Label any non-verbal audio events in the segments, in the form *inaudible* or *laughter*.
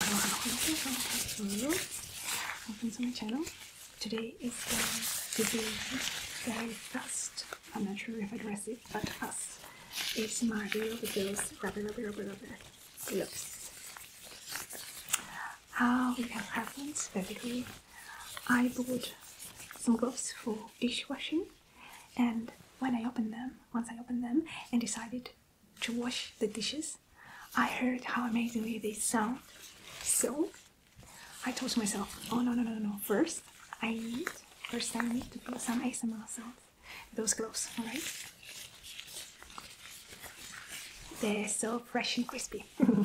Welcome to my channel. Today is going to be very fast. I'm not sure if I dress it, but fast. It's my video with those rubber, rubber, rubber, rubber gloves. How it has happened, basically, I bought some gloves for dishwashing, and when I opened them, once I opened them and decided to wash the dishes. I heard how amazingly they sound. So I told myself, oh no, no, no, no, first I need, first I need to put some ASMR sounds. Those gloves, alright? They're so fresh and crispy. *laughs*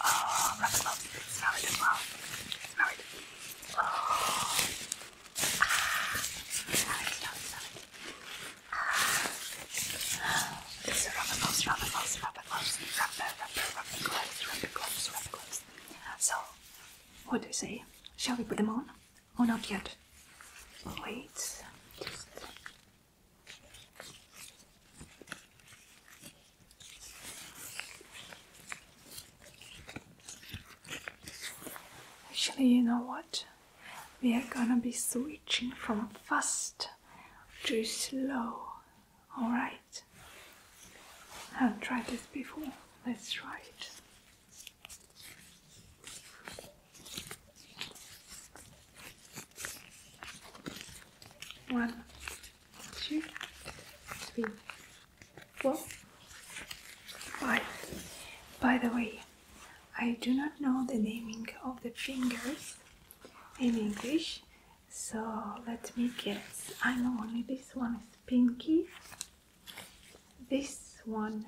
uh, rubber gloves. Smell it as well. Smell it. Oh. Ah. Smell it, smell it, smell it. Ah. It's a rubber gloves, rubber gloves, rubber gloves, rubber, rubber, rubber gloves, rubber gloves, rubber gloves. So, what do you say? Shall we put them on? Oh, not yet. Wait. Just... Actually, you know what? We are gonna be switching from fast to slow. Alright? I haven't tried this before. Let's try it. One, two, three, four, five. By the way, I do not know the naming of the fingers in English, so let me guess. I know only this one is pinky. This one,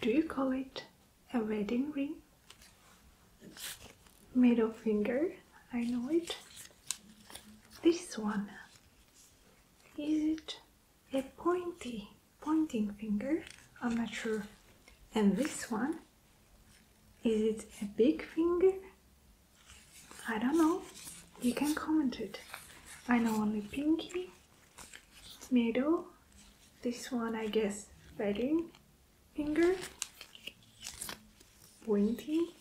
do you call it a wedding ring? Middle finger, I know it. This one, is it a pointy, pointing finger? I'm not sure. And this one? Is it a big finger? I don't know. You can comment it. I know only pinky, middle, this one I guess wedding finger, pointy,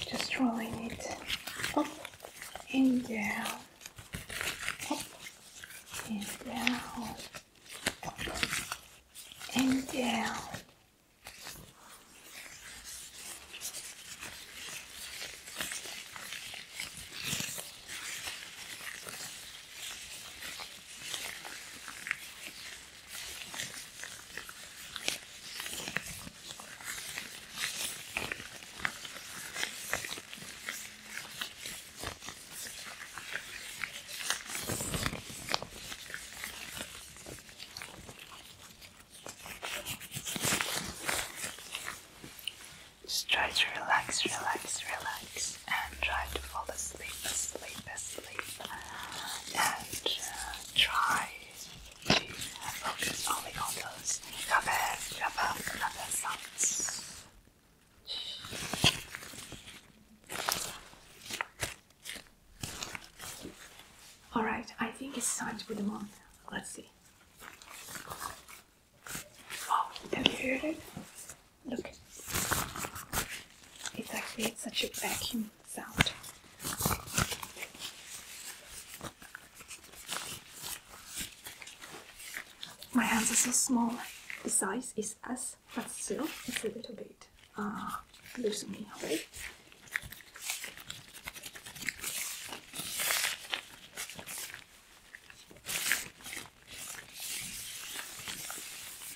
just rolling it up and down, up and down, and down. Just try to relax, relax, relax, and try to fall asleep, asleep, asleep, and uh, try Focus only on those rubber, rubber, rubber sounds. Alright, I think it's time to put them on. Let's see. Wow, have you heard it? Look. It's actually it's such a vacuum sound. My hands are so small. The size is S, but still it's a little bit uh, loosening, okay?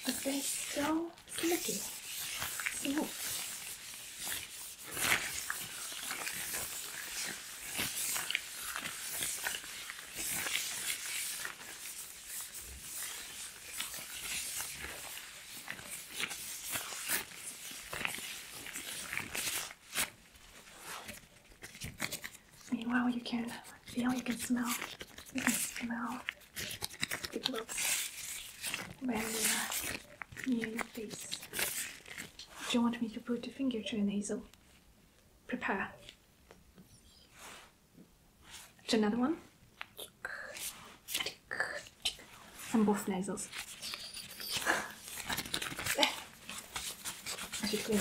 But they so slicky, smooth. Meanwhile, you can feel, you can smell, you can smell the gloves when your face. Do you want me to put a finger to your nasal? Prepare. another one. Some both nasals. I should clean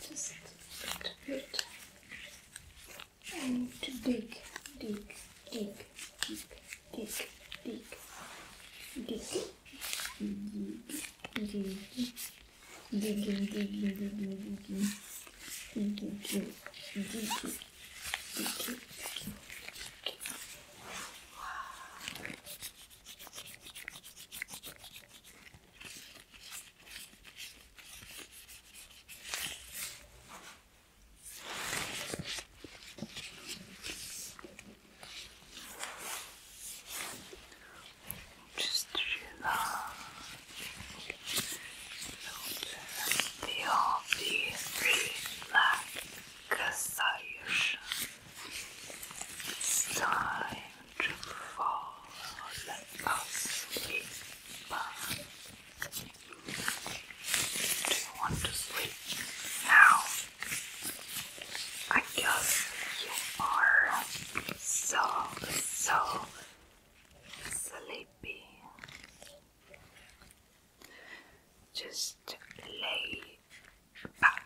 Just bit and dig, dig, dig, dig, dig, dig, dig, dig, dig, digging, digging, digging, digging, digging, digging, digging. Just relax. Feel the relaxation. It's time to fall asleep. Do you want to sleep now? I guess you are so, so sleepy. Just lay back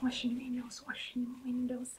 Washing windows, washing windows.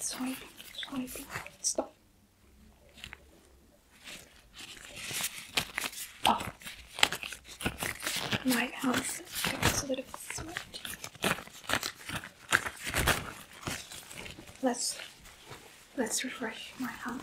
Sorry, sorry, stop. Oh. My house got a bit of Let's let's refresh my house.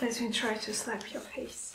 Let me try to slap your face.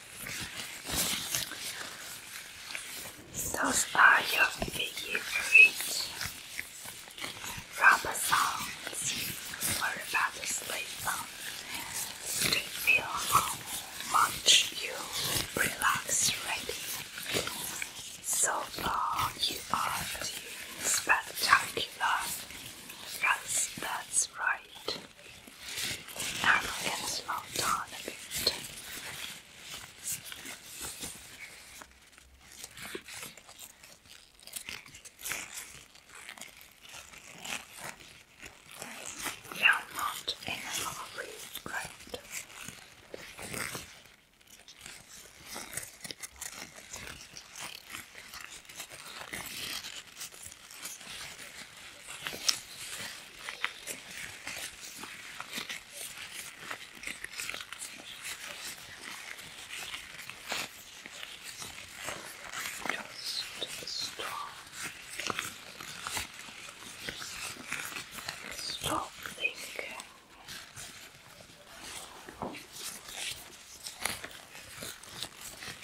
Those are your favorite rubber sounds for about to sleep on. To feel how much you relax already. So far, you are doing spectacular. that's right. Arrogance slowed down a bit. You are not in a hurry, right? Just the straw. Stop thinking.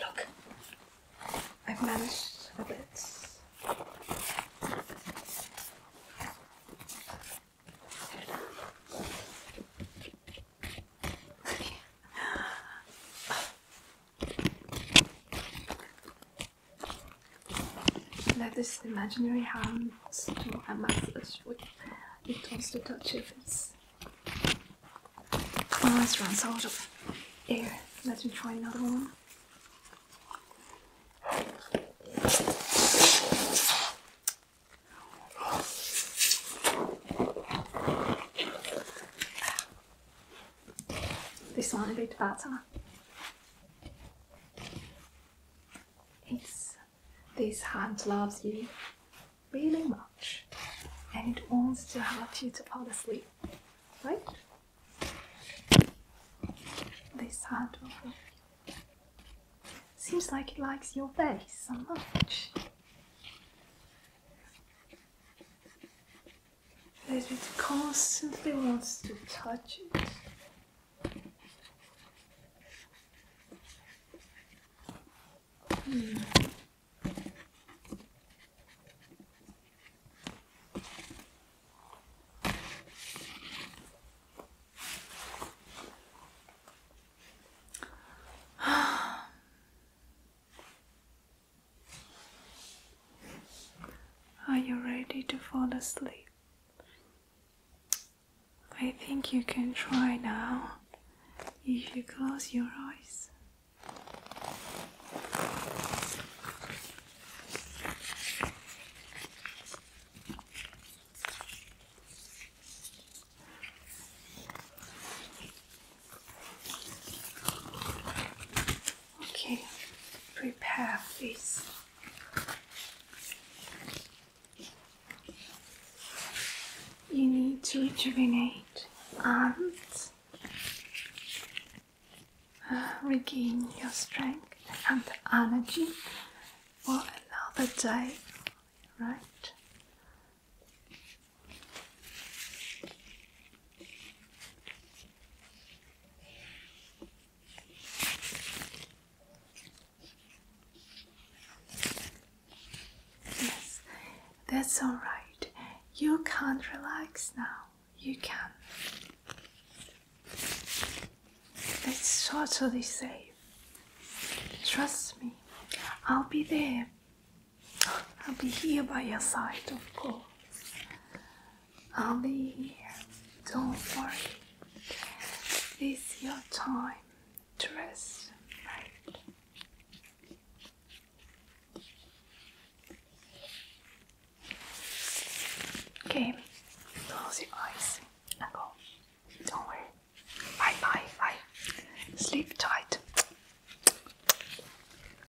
Look, I've managed the bits. Let this imaginary hand do a massage with it wants to touch your face. Almost runs out of air. Let me try another one. This one a bit better. It's this hand loves you really much and it wants to help you to fall asleep, right? This hand Seems like it likes your face so much it constantly wants to touch it. Hmm. Are you ready to fall asleep? I think you can try now if you close your eyes. Okay, prepare face. You need to rejuvenate and uh, regain your strength and energy for another day, right? Yes, that's all right. You can't relax now. You can. It's totally safe. Trust me, I'll be there I'll be here by your side, of course. I'll be here. Don't worry. This is your time to rest, right? Okay, close your eyes and go. Don't worry. Bye bye bye. Sleep tight.